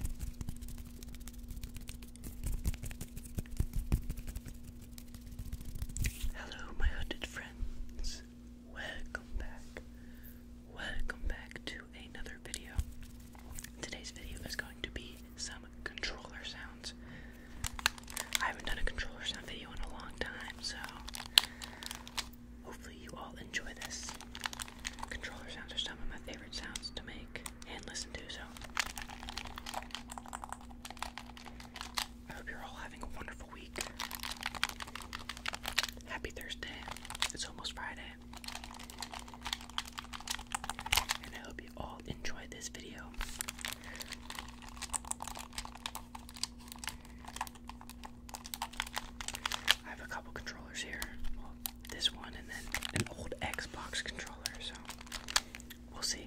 Hello, my hunted friends. Welcome back. Welcome back to another video. Today's video is going to be some controller sounds. I haven't done a controller sound video in a long time, so hopefully you all enjoy this. Controller sounds are some of my favorite sounds to make and listen to. So I hope you're all having a wonderful week. Happy Thursday. It's almost Friday. And I hope you all enjoyed this video. I have a couple controllers here this one and then an old Xbox controller, so we'll see.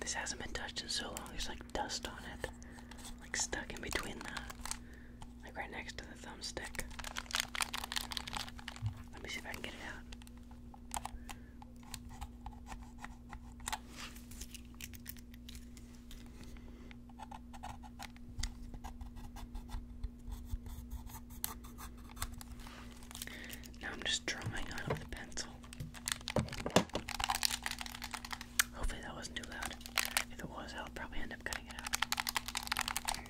This hasn't been touched in so long, there's like dust on it. Like stuck in between the like right next to the thumbstick. Let me see if I can get it out. Now I'm just drawing out of the pencil. Hopefully that wasn't too loud. If it was, I'll probably end up cutting it out.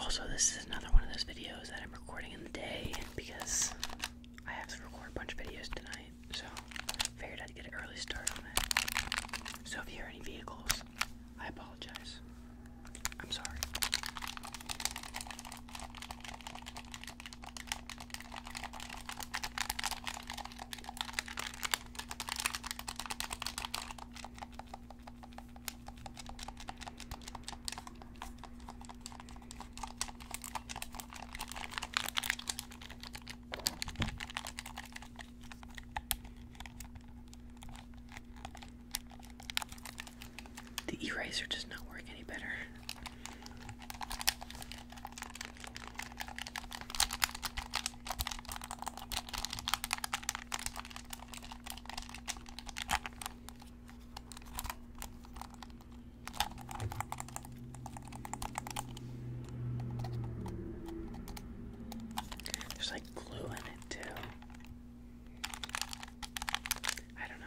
Also, this is another one of those videos that I'm recording in the day because I have to record a bunch of videos tonight, so figured I'd get an early start on it. So if you hear any vehicles, I apologize. I'm sorry. The eraser does not work any better. There's like glue in it too. I don't know.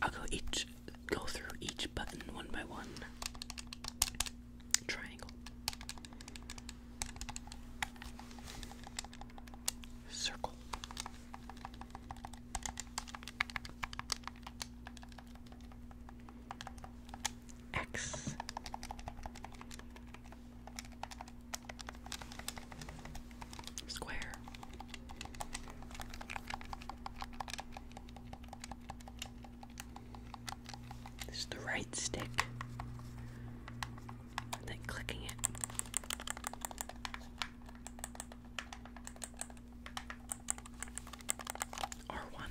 I'll go each go through each button one by one. Triangle. Circle. X. Square. This is the right stick. then clicking it. R1.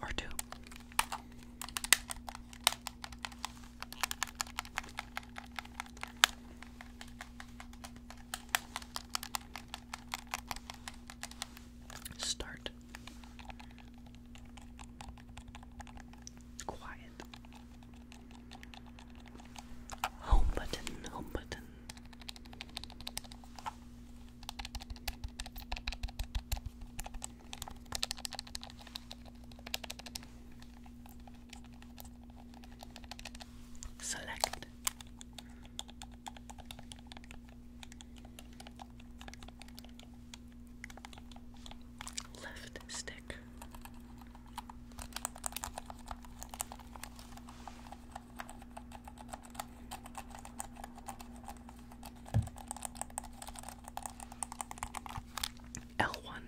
Or two. Start quiet Home button, home button. Select. Left stick. L one.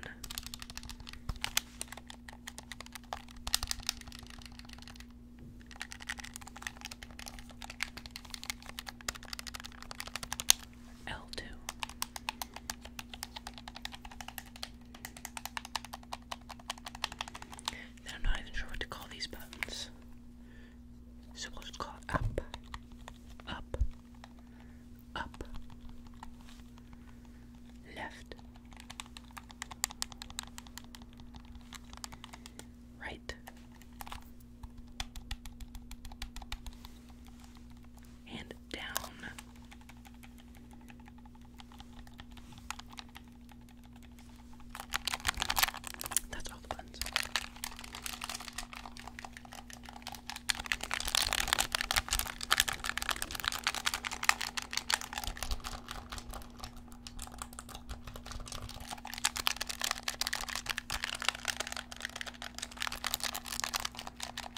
L2 I'm not even sure what to call these buttons. So we call up, up, up, left, right, and down. That's all the buttons.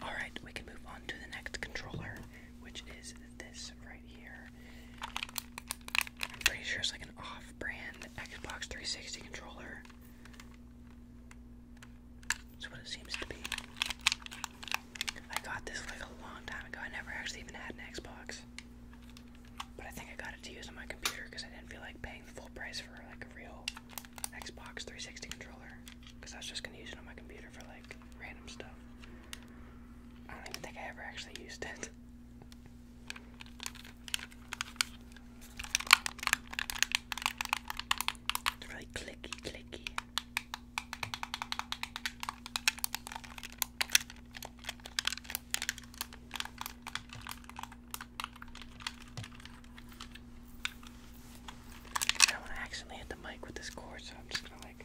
All right, we can move on to the next controller, which is this right here. I'm pretty sure it's like an off-brand Xbox 360 controller. That's what it seems to be. I got this like a long time ago. I never actually even had an Xbox. But I think I got it to use on my computer because I didn't feel like paying the full price for like a real Xbox 360 controller. Because I was just going to use it on my computer for like random stuff. I don't even think I ever actually used it. It's really clicky, clicky. I don't want to accidentally hit the mic with this cord, so I'm just gonna like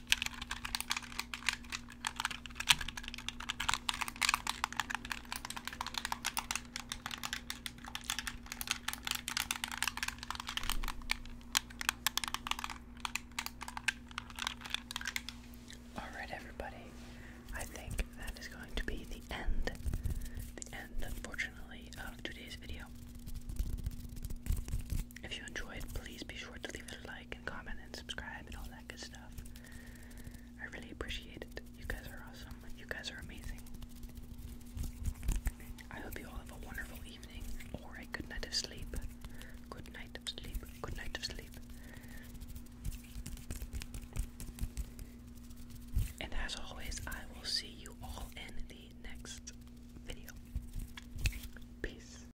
Alright, everybody, I think that is going to be the end, the end, unfortunately, of today's video. If you enjoyed, please be sure to leave it a like and comment and subscribe and all that good stuff. I really appreciate it. You guys are awesome. You guys are amazing. I hope you all have a wonderful evening or a good night sleep. Good night of sleep. Good night of sleep. And as always, I will see you all in the next video. Peace.